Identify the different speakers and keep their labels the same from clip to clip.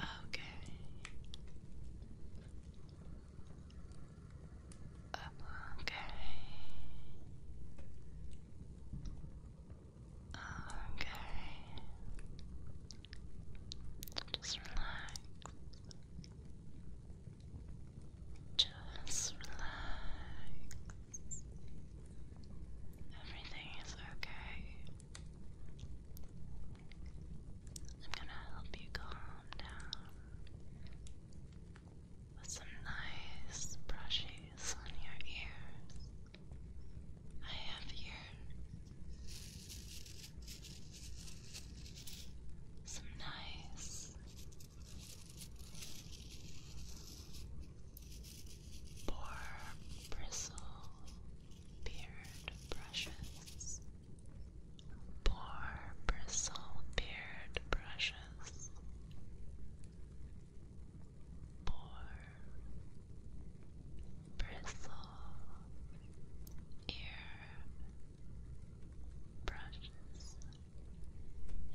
Speaker 1: Okay. Okay. Okay. Just relax. Just relax. Everything is okay. I'm gonna help you calm down with some nice brushes on your ears. I have here some nice or bristle beard brushes. Poor bristle beard brushes. Poor bristle ear brushes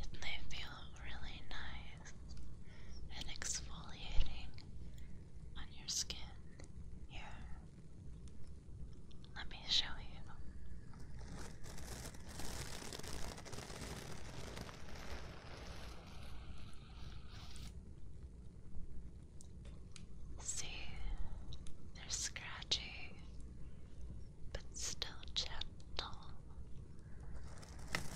Speaker 1: and they feel really nice and exfoliating on your skin here. Let me show you. See, they're scratchy but still gentle. It'll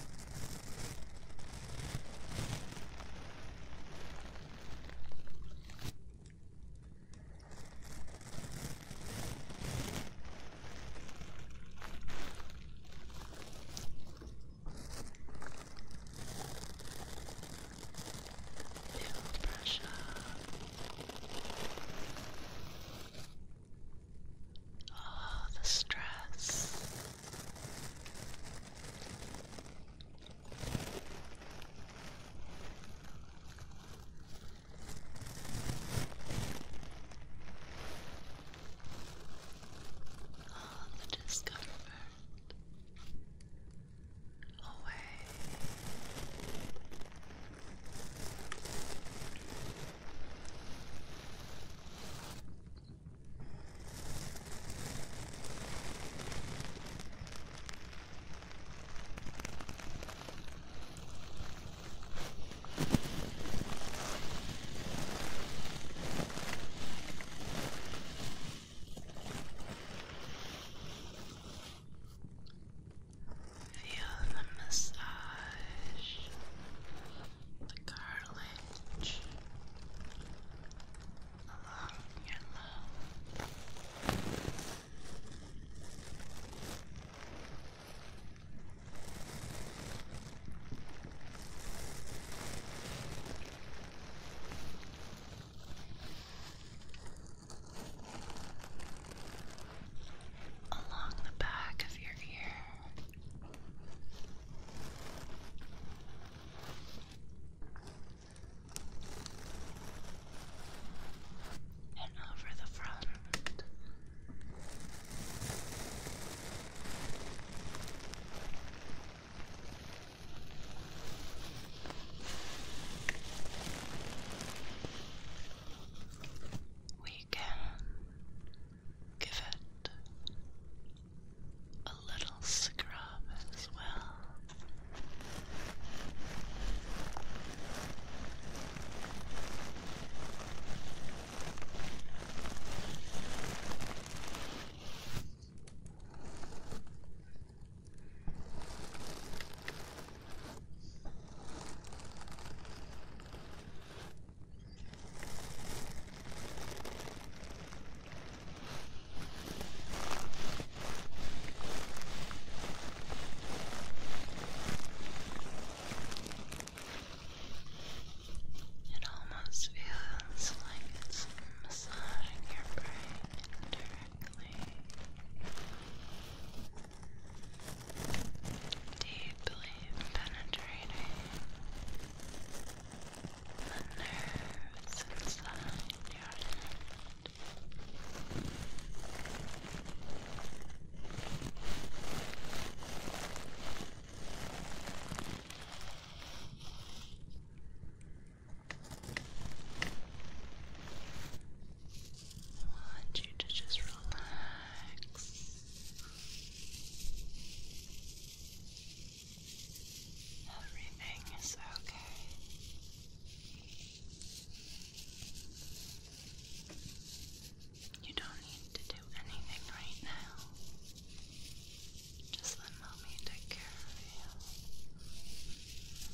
Speaker 1: brush Oh, the stress. Oh, the discomfort away. All Feel the massage, the cartilage along your love along the back of your ear. And over the front. We can give it a little scrub as well. It almost feels like it's massaging your brain deeply penetrating the nerves inside your head. I want you to just relax. Everything is okay. You don't need to do anything right now. Just let mommy take care of you.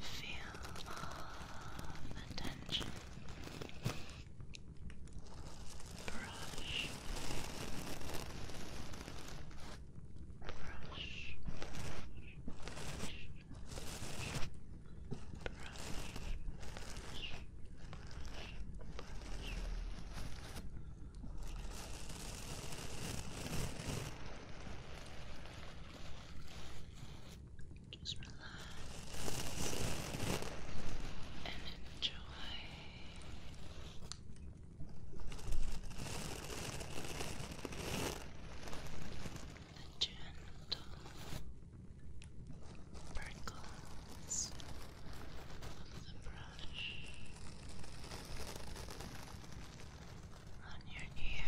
Speaker 1: Feel all the tension. Brush. Brush, brush, brush, just relax and enjoy. Relax a gentle prickles of the brush on your ear. I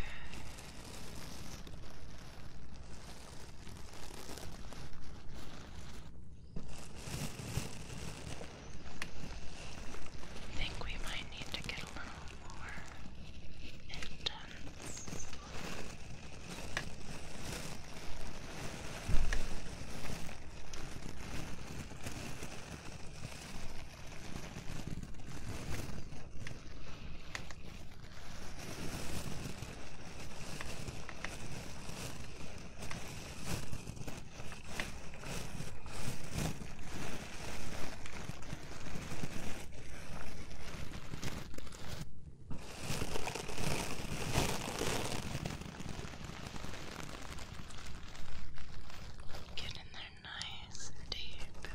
Speaker 1: think we might need to get a little more intense. Now Get in there nice and deep. Good.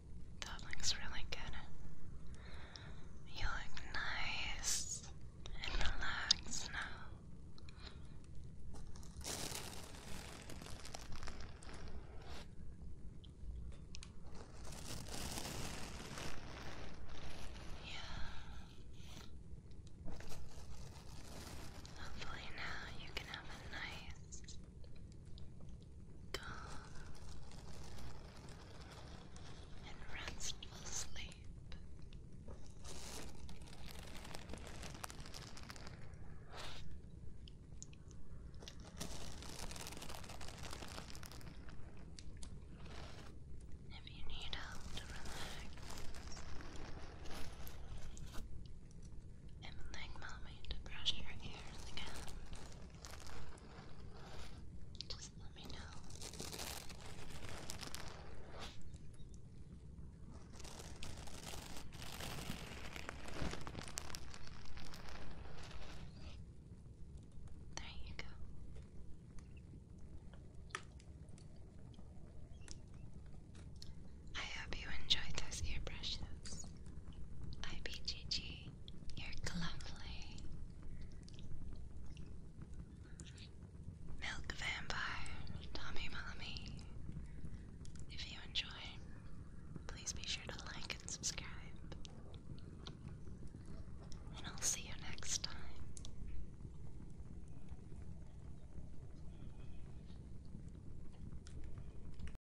Speaker 1: That looks really good. You look nice and relaxed now. Yeah. Hopefully now you can have a nice calm and restful sleep. If you need help to relax, and like mommy to brush your ears again. Just let me know. There you go. I hope you enjoyed those ear brushes. IBGG you're lovely. Milk Vampire, Tommy Mommy. If you enjoy, please be sure to like and subscribe. And I'll see you next time.